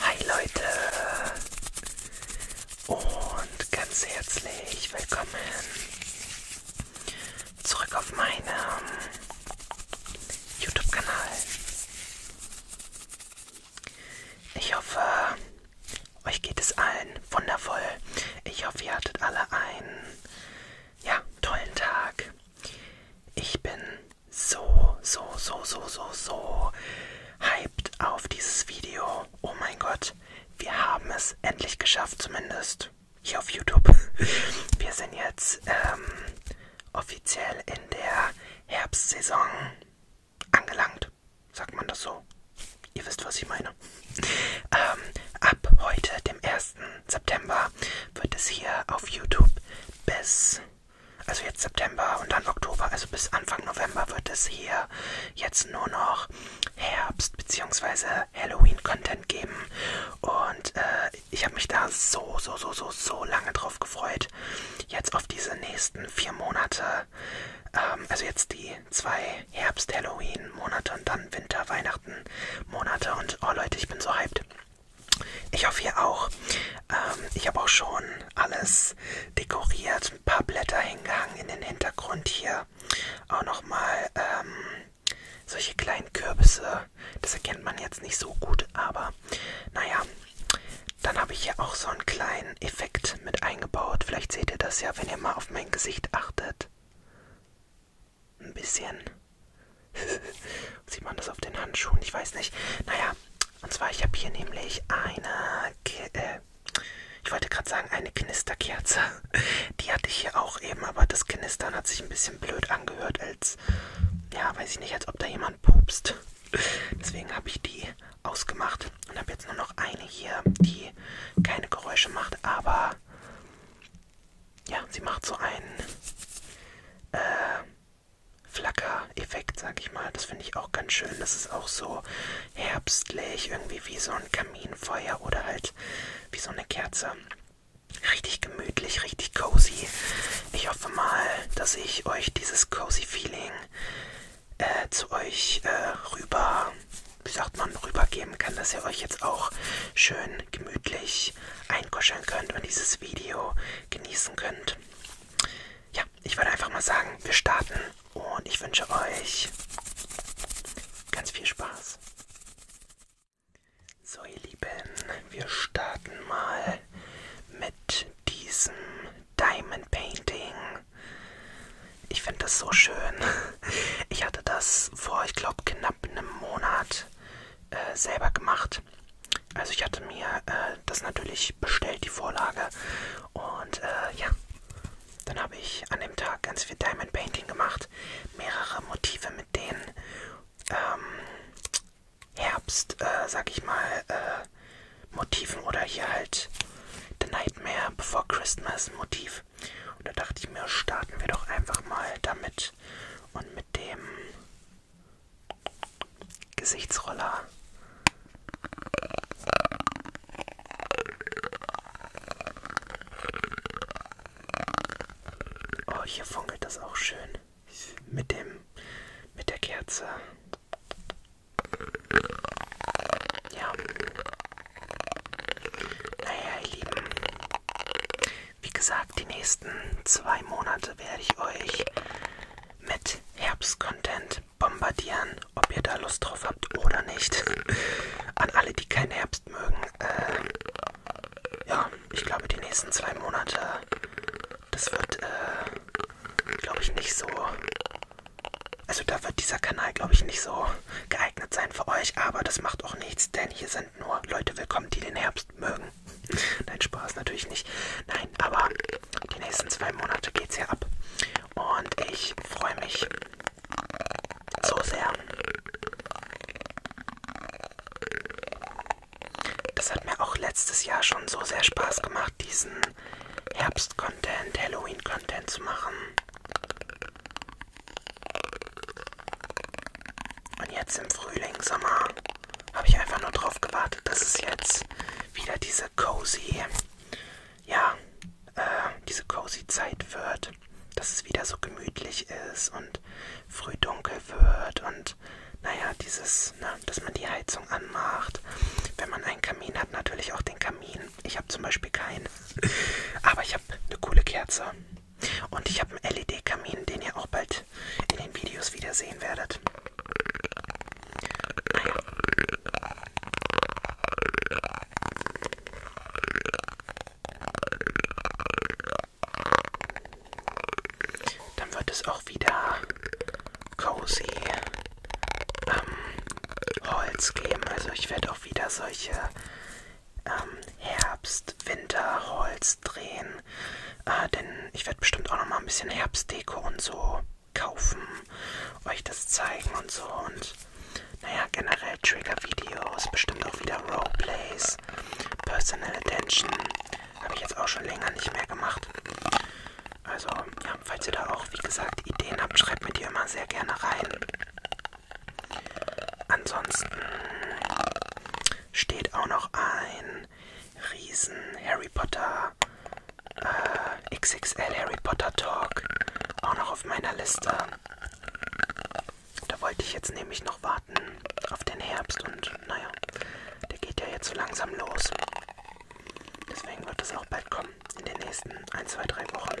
Hi Leute und ganz herzlich willkommen zurück auf meinem YouTube-Kanal. Ich hoffe, euch geht es allen wundervoll. Ich hoffe, ihr hattet alle einen ja, tollen Tag. Ich bin so, so, so, so, so, so hyped auf dieses Video. Oh mein Gott, wir haben es endlich geschafft, zumindest hier auf YouTube. Wir sind jetzt ähm, offiziell in der Herbstsaison angelangt. Sagt man das so? Ihr wisst, was ich meine. Ähm, ab heute, dem 1. September, wird es hier auf YouTube bis, also jetzt September und dann Oktober, also bis Anfang November wird es hier jetzt nur noch Herbst- bzw. Halloween-Content geben. Und äh, ich habe mich da so, so, so, so, so lange drauf gefreut. Jetzt auf diese nächsten vier Monate. Ähm, also jetzt die zwei Herbst-Halloween-Monate und dann Winter-Weihnachten-Monate. Und oh Leute, ich bin so hyped. Ich hoffe ihr auch. Ähm, ich habe auch schon alles dekoriert, ein paar Blätter hingehangen in den Hintergrund hier. Auch nochmal ähm, solche kleinen Kürbisse. Das erkennt man jetzt nicht so gut, aber naja. Dann habe ich hier auch so einen kleinen Effekt mit eingebaut. Vielleicht seht ihr das ja, wenn ihr mal auf mein Gesicht achtet ein bisschen. Sieht man das auf den Handschuhen? Ich weiß nicht. Naja, und zwar, ich habe hier nämlich eine, äh, ich wollte gerade sagen, eine Knisterkerze. Die hatte ich hier auch eben, aber das Knistern hat sich ein bisschen blöd angehört, als, ja, weiß ich nicht, als ob da jemand pupst. Deswegen habe ich die ausgemacht und habe jetzt nur noch eine hier, die keine Geräusche macht, aber ja, sie macht so einen äh, Flacker-Effekt, sag ich mal. Das finde ich auch ganz schön. Das ist auch so herbstlich, irgendwie wie so ein Kaminfeuer oder halt wie so eine Kerze. Richtig gemütlich, richtig cozy. Ich hoffe mal, dass ich euch dieses cozy Feeling äh, zu euch äh, rüber, wie sagt man, rübergeben kann, dass ihr euch jetzt auch schön gemütlich einkuscheln könnt und dieses Video genießen könnt. Ja, ich würde einfach mal sagen, wir starten und ich wünsche euch ganz viel Spaß. So ihr Lieben, wir starten mal mit diesem Diamond Painting. Ich finde das so schön. Ich hatte das vor, ich glaube, knapp einem Monat äh, selber gemacht. Also ich hatte mir äh, das natürlich bestellt, die Vorlage. Und äh, ja, dann habe ich an dem Tag ganz viel Diamond Painting gemacht. Mehrere Motive mit den ähm, Herbst, äh, sag ich mal, äh, Motiven oder hier halt The Nightmare Before Christmas Motiv. Und da dachte ich mir, starten wir doch einfach mal damit. Gesicht und mit dem Gesichtsroller Oh, hier funkelt das auch schön. Mit dem, mit der Kerze. Ja. Naja, ihr Lieben. Wie gesagt, die nächsten zwei Monate werde ich euch mit Herbstcontent bombardieren, ob ihr da Lust drauf habt oder nicht. An alle, die keinen Herbst mögen, äh, ja, ich glaube, die nächsten zwei Monate, das wird, äh, glaube ich, nicht so. Also, da wird dieser Kanal, glaube ich, nicht so geeignet sein für euch, aber das macht auch nichts, denn hier seid sind nur Leute willkommen, die den Herbst mögen. Nein, Spaß natürlich nicht. Nein, aber die nächsten zwei Monate geht's ja ab. Und ich freue mich so sehr. Das hat mir auch letztes Jahr schon so sehr Spaß gemacht, diesen Herbst-Content, Halloween-Content zu machen. Und jetzt im Frühling, Sommer, habe ich einfach nur drauf gewartet, dass es jetzt wieder diese cozy, ja, äh, diese cozy Zeit wird. Dass es wieder so gemütlich ist und früh dunkel wird und naja, dieses, ne, dass man die Heizung anmacht. Wenn man einen Kamin hat, natürlich auch den Kamin. Ich habe zum Beispiel keinen. Aber ich habe eine coole Kerze. Und ich habe einen LED-Kamin, den ihr auch bald in den Videos wieder sehen werdet. Naja. Ah Dann wird es auch wieder cozy ähm, Holz geben. Also ich werde auch wieder solche ähm, Herbst, Winter, Holz drehen. Äh, denn ich werde bestimmt auch noch mal ein bisschen Herbstdeko und so kaufen, euch das zeigen und so. Und naja, generell Trigger-Videos, bestimmt auch wieder Roleplays, Personal Attention. Habe ich jetzt auch schon länger nicht mehr gemacht. Also, ja, falls ihr da auch, wie gesagt, Ideen habt, schreibt mir die immer sehr gerne rein. Ansonsten steht auch noch ein riesen Harry Potter äh, XXL Harry Potter Talk auch noch auf meiner Liste. Da wollte ich jetzt nämlich noch warten auf den Herbst und naja, der geht ja jetzt so langsam los. Deswegen wird es auch bald kommen, in den nächsten 1, 2, 3 Wochen.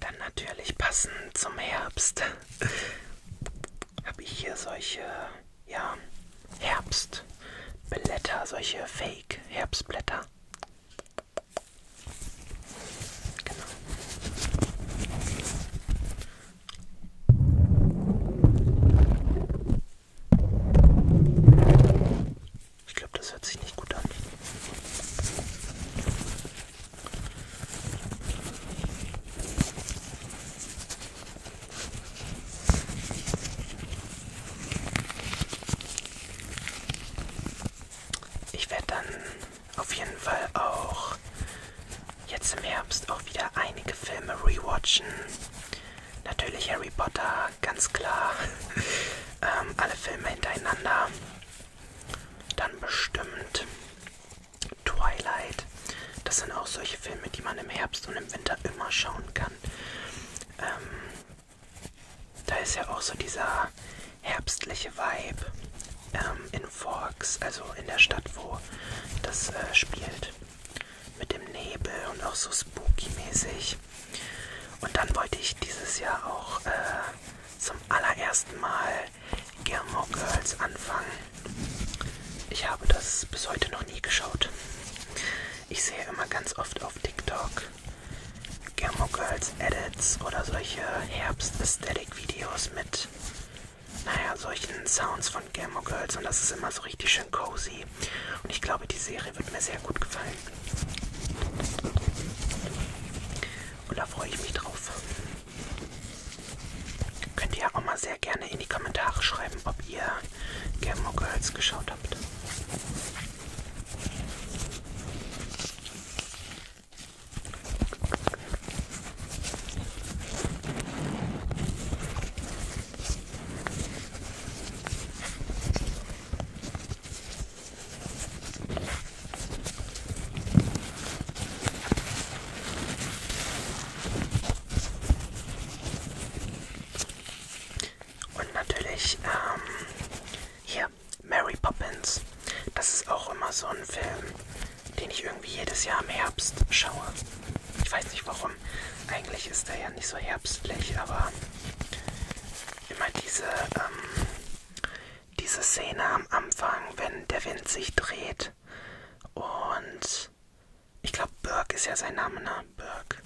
Dann natürlich passend zum Herbst habe ich hier solche ja, Herbstblätter, solche Fake-Herbstblätter. Genau. Ich glaube, das hört sich nicht gut an. Ich werde dann auf jeden Fall auch jetzt im Herbst auch wieder einige Filme rewatchen. Natürlich Harry Potter, ganz klar. ähm, alle Filme hintereinander. Dann bestimmt Twilight. Das sind auch solche Filme, die man im Herbst und im Winter immer schauen kann. Ähm, da ist ja auch so dieser herbstliche Vibe ähm, in Forks, also in der Stadt, wo das äh, spielt mit dem Nebel und auch so spooky-mäßig. Und dann wollte ich dieses Jahr auch äh, zum allerersten Mal Gilmore Girls anfangen. Ich habe das bis heute noch nie geschaut. Ich sehe immer ganz oft auf TikTok Gilmore Girls Edits oder solche Herbst-Aesthetic-Videos mit naja, solchen Sounds von Gilmore Girls und das ist immer so richtig schön cozy. Und ich glaube, die Serie wird mir sehr gut gefallen. Und da freue ich mich drauf. Könnt ihr ja auch mal sehr gerne in die Kommentare schreiben, ob ihr Gilmore Girls geschaut habt. Und natürlich ähm, hier Mary Poppins. Das ist auch immer so ein Film, den ich irgendwie jedes Jahr im Herbst schaue. Ich weiß nicht warum. Eigentlich ist er ja nicht so herbstlich, aber immer diese, ähm, diese Szene am Anfang, wenn der Wind sich dreht und ich glaube, Burke ist ja sein Name, ne? Burke.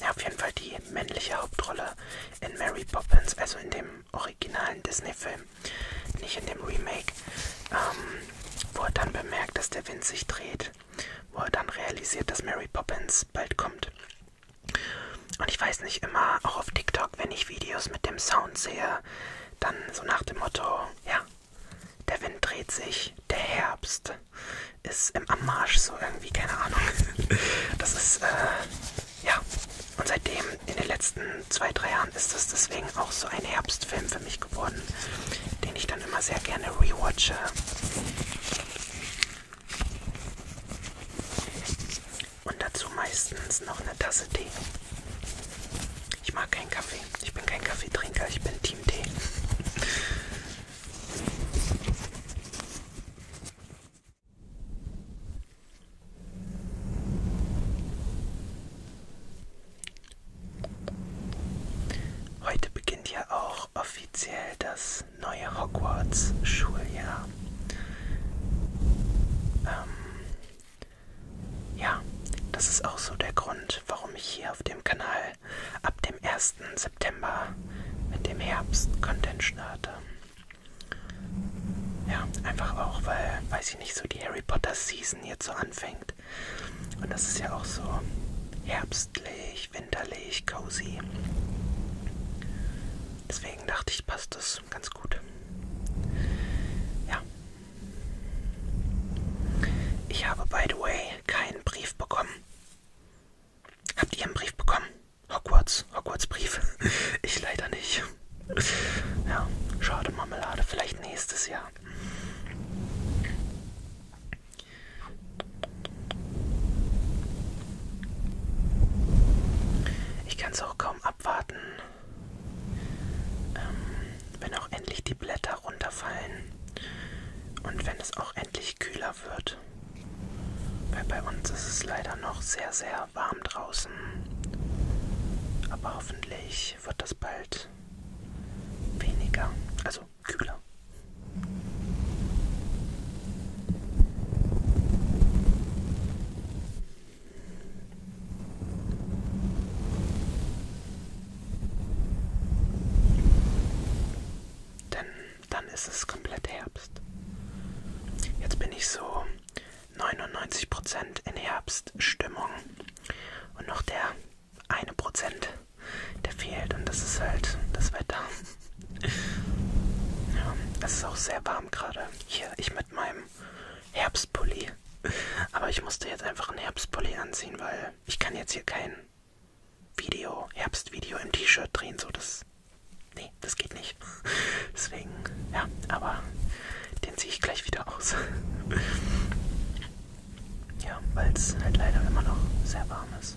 Ja, auf jeden Fall die männliche Hauptrolle in Mary Poppins, also in dem originalen Disney-Film, nicht in dem Remake. Ähm, wo er dann bemerkt, dass der Wind sich dreht, wo er dann realisiert, dass Mary Poppins bald kommt. Und ich weiß nicht immer, auch auf TikTok, wenn ich Videos mit dem Sound sehe, dann so nach dem Motto, ja, der Wind dreht sich, der Herbst ist im Ammarsch, so irgendwie, keine Ahnung. Das ist, äh, ja. Und seitdem, in den letzten zwei, drei Jahren, ist das deswegen auch so ein Herbstfilm für mich süchtig geworden, den ich dann immer sehr gerne rewatche. Und dazu meistens noch eine Tasse Tee. Ich mag keinen Kaffee. Ich bin kein Kaffeetrinker, ich bin Team Tee. Heute beginnt ja auch offiziell das neue Hogwarts-Schuljahr. Ähm, ja, das ist auch so der Grund, warum ich hier auf dem Kanal ab dem 1. September mit dem Herbst-Content starte. Ja, einfach auch, weil, weiß ich nicht, so die Harry Potter Season jetzt so anfängt gemacht. Und das ist ja auch so herbstlich, winterlich, cozy. Deswegen dachte ich, passt das ganz gut. Ja. Ich habe, by the way, keinen Brief bekommen. Habt ihr einen Brief bekommen? Hogwarts, Hogwarts Brief. Ich leider nicht. Ja, schade Marmelade, vielleicht nächstes Jahr. Ich kann es auch kaum abwarten, ähm, wenn auch endlich die Blätter runterfallen und wenn es auch endlich kühler wird. Weil bei uns ist es leider noch sehr, sehr warm draußen. Aber hoffentlich wird das bald weniger, also kühler. Denn dann ist es komplett Herbst. Jetzt bin ich so 99% in Herbststimmung und noch der eine Prozent, der fehlt und das ist halt das Wetter. Ja, es ist auch sehr warm gerade. Hier, ich mit meinem Herbstpulli. Aber ich musste jetzt einfach einen Herbstpulli anziehen, weil ich kann jetzt hier kein Video, Herbstvideo im T-Shirt drehen. So, das, nee, das geht nicht. Deswegen, ja, aber den ziehe ich gleich wieder aus. Ja, weil es halt leider immer noch sehr warm ist.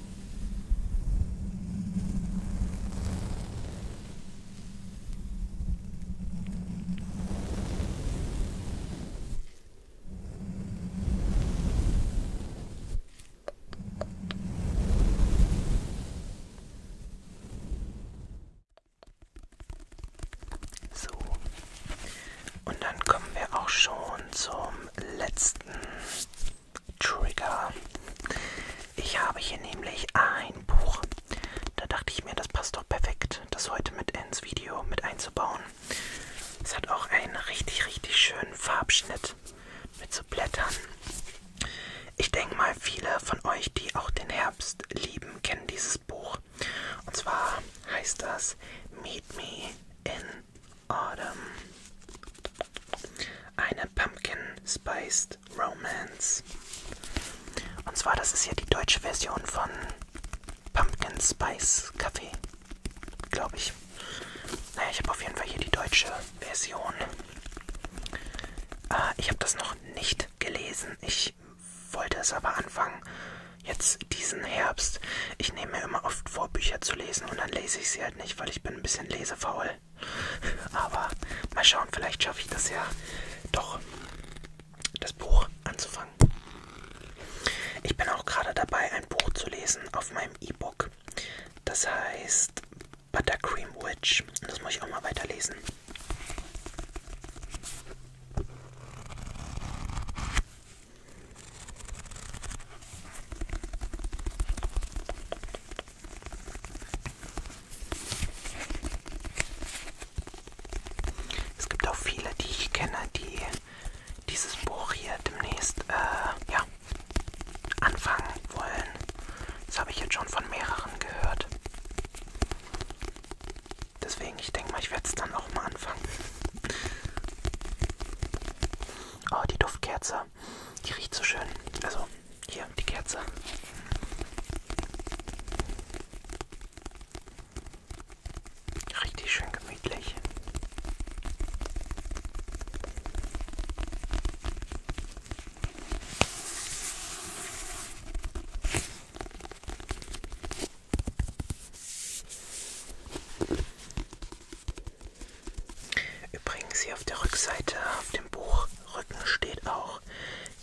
So, und dann kommen wir auch schon zum letzten Trigger. Ich habe hier nämlich ein Buch. Da dachte ich mir, das passt doch perfekt, das heute mit ins Video mit einzubauen. Es hat auch einen richtig, richtig schönen Farbschnitt mit so Blättern. Ich denke mal, viele von euch, die auch den Herbst lieben, kennen dieses Buch. Und zwar heißt das Meet Me in Autumn. Eine Pumpkin Spiced Romance. Und zwar, das ist ja die deutsche Version von Pumpkin Spice Kaffee. Glaube ich. Naja, ich habe auf jeden Fall hier die deutsche Version. Äh, ich habe das noch nicht gelesen. Ich wollte es aber anfangen. Jetzt diesen Herbst. Ich nehme mir immer oft vor, Bücher zu lesen und dann lese ich sie halt halt nicht, weil ich bin ein bisschen lesefaul. Aber mal schauen, vielleicht schaffe ich das ja doch, das Buch anzufangen. Ich bin auch gerade dabei, ein Buch zu lesen auf meinem E-Book. Das heißt Buttercream Witch. Und das muss ich auch mal weiterlesen. Es gibt auch viele, die ich kenne, die dieses Buch hier demnächst äh, ja, anfangen wollen. Das habe ich jetzt schon von mehreren gehört. Deswegen, ich denke mal, ich werde es dann auch mal anfangen. Oh, die Duftkerze. Die riecht so schön. Also, hier, die Kerze. Richtig schön gemütlich. Übrigens hier auf der Rückseite auf dem Buchrücken steht auch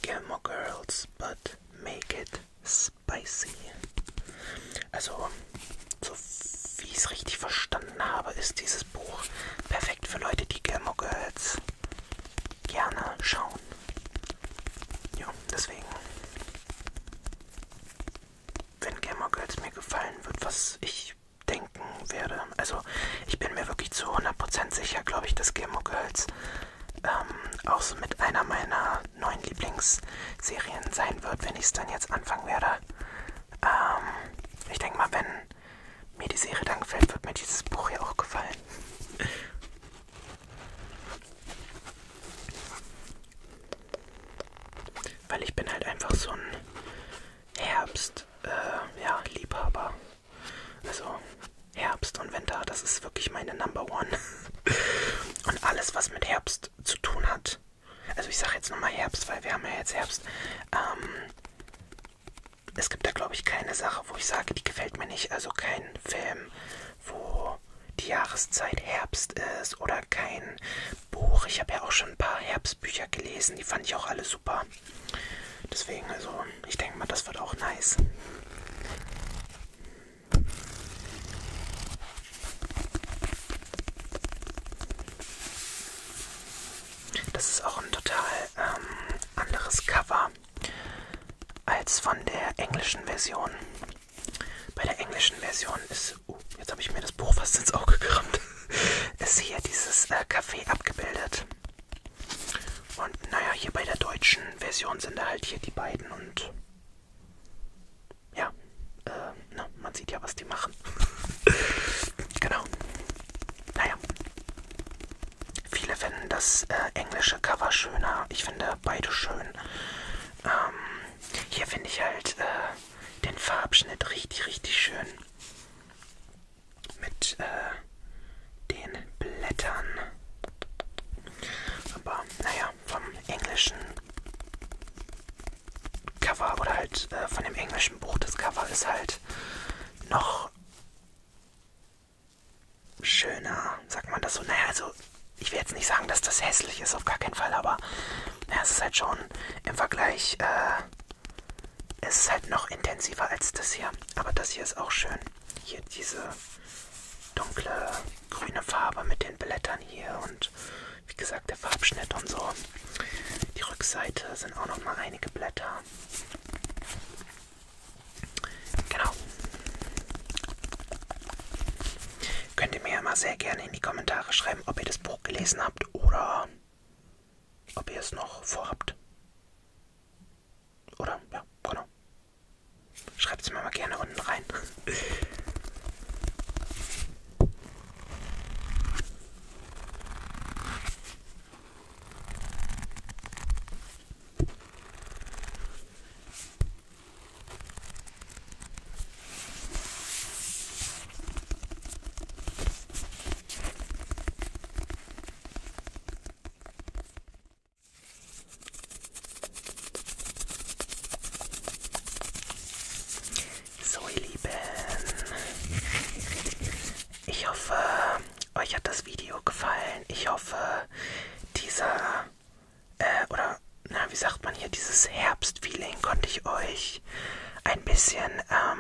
Gilmore Girls, but make it spicy. Also, so wie ich es richtig verstanden habe, ist dieses Buch perfekt für Leute, die Gilmore Girls gerne schauen. Ja, deswegen wenn Gamer Girls mir gefallen wird, was ich denken werde. Also ich bin mir wirklich zu 100% sicher, glaube ich, dass Gamer Girls ähm, auch so mit einer meiner neuen Lieblingsserien sein wird, wenn ich es dann jetzt anfangen werde. Ähm, ich denke mal, wenn mir die Serie dann gefällt, wird mir dieses Buch ja auch gefallen. Weil ich bin halt einfach so ein Herbst, äh, ja, Liebhaber. Also Herbst und Winter, das ist wirklich meine Number One. und alles, was mit Herbst zu tun hat. Also ich sage jetzt nochmal Herbst, weil wir haben ja jetzt Herbst. Ähm, es gibt da, glaube ich, keine Sache, wo ich sage, die gefällt mir nicht. Also kein Film, wo die Jahreszeit Herbst ist oder kein Buch. Ich habe ja auch schon ein paar Herbstbücher gelesen. Die fand ich auch alle super. Deswegen, also, ich denke mal, das wird auch nice. Das ist auch ein total ähm, anderes Cover als von der englischen Version. Bei der englischen Version ist dieses. Oh, jetzt habe ich mir das Buch fast ins Auge gerammt. Ist hier dieses äh, Café abgebildet. Und naja, hier bei der deutschen Version sind da halt hier die beiden und. Ja, äh, na, man sieht ja, was die machen. genau. Naja. Viele finden das äh, englische Cover schöner. Ich finde beide schön. Ähm, hier finde ich halt äh, den Farbschnitt richtig, richtig schön mit äh, den Blättern. Aber naja, vom englischen Cover oder halt äh, von dem englischen Buch, das Cover ist halt noch schöner, sagt man das so. Naja, also ich will jetzt nicht sagen, dass das hässlich ist, auf gar keinen Fall, aber naja, es ist halt schon im Vergleich äh, ist es halt noch intensiver als das hier. Aber das hier ist auch schön. Hier diese dunkle grüne Farbe mit den Blättern hier und wie gesagt der Farbschnitt und so. Die Rückseite sind auch noch mal einige Blätter. Genau. Könnt ihr mir ja mal sehr gerne in die Kommentare schreiben, ob ihr das Buch gelesen habt oder ob ihr es noch vorhabt. Oder? Ja, genau. Schreibt es mir mal gerne unten rein. So ihr Lieben, ich hoffe, euch hat das Video gefallen. Ich hoffe, dieser äh, oder na, wie sagt man hier, dieses Herbstfeeling konnte ich euch ein bisschen ähm,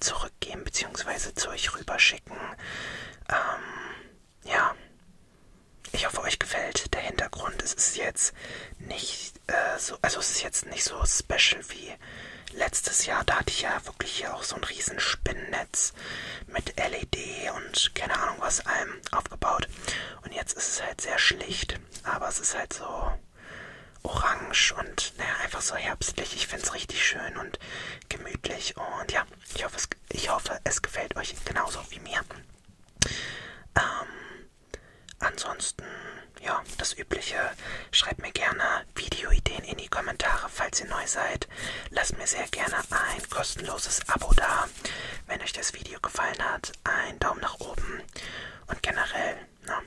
zurückgeben bzw. zu euch rüberschicken. Ähm, ja, ich hoffe, euch gefällt der Hintergrund. Es ist jetzt nicht äh, so, also es ist jetzt nicht so special wie letztes Jahr. Da hatte ich ja wirklich hier auch so ein riesen Spinnennetz mit LED und keine Ahnung was allem aufgebaut. Und jetzt ist es halt sehr schlicht aber es ist halt so orange und naja, einfach so herbstlich. Ich finde es richtig schön und gemütlich und ja, ich hoffe, es, ich hoffe, es gefällt euch genauso wie mir. Ähm, ansonsten, ja, das Übliche. Schreibt mir gerne Videoideen in die Kommentare, falls ihr neu seid. Lasst mir sehr gerne ein kostenloses Abo da, wenn euch das Video gefallen hat uns einen Daumen nach oben und generell, na,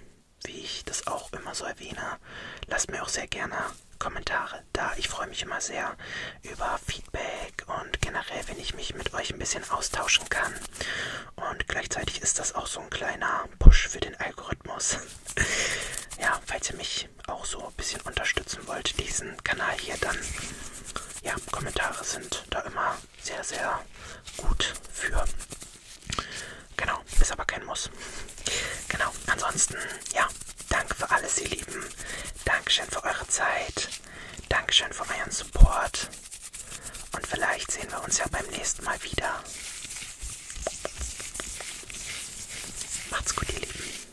wie ich das auch immer so erwähne, lasst mir auch sehr gerne Kommentare da. Ich freue mich immer sehr über Feedback und generell, wenn ich mich mit euch ein bisschen austauschen kann. Und gleichzeitig ist das auch so ein kleiner Push für den Algorithmus. ja, falls ihr mich auch so ein bisschen unterstützen wollt, diesen Kanal hier, dann ja, Kommentare sind da immer sehr, sehr gut für. Genau, ist aber kein Muss. Genau, ansonsten, ja, danke für alles, ihr Lieben. Dankeschön für eure Zeit. Dankeschön für euren Support. Und vielleicht sehen wir uns ja beim nächsten Mal wieder. Macht's gut, ihr Lieben.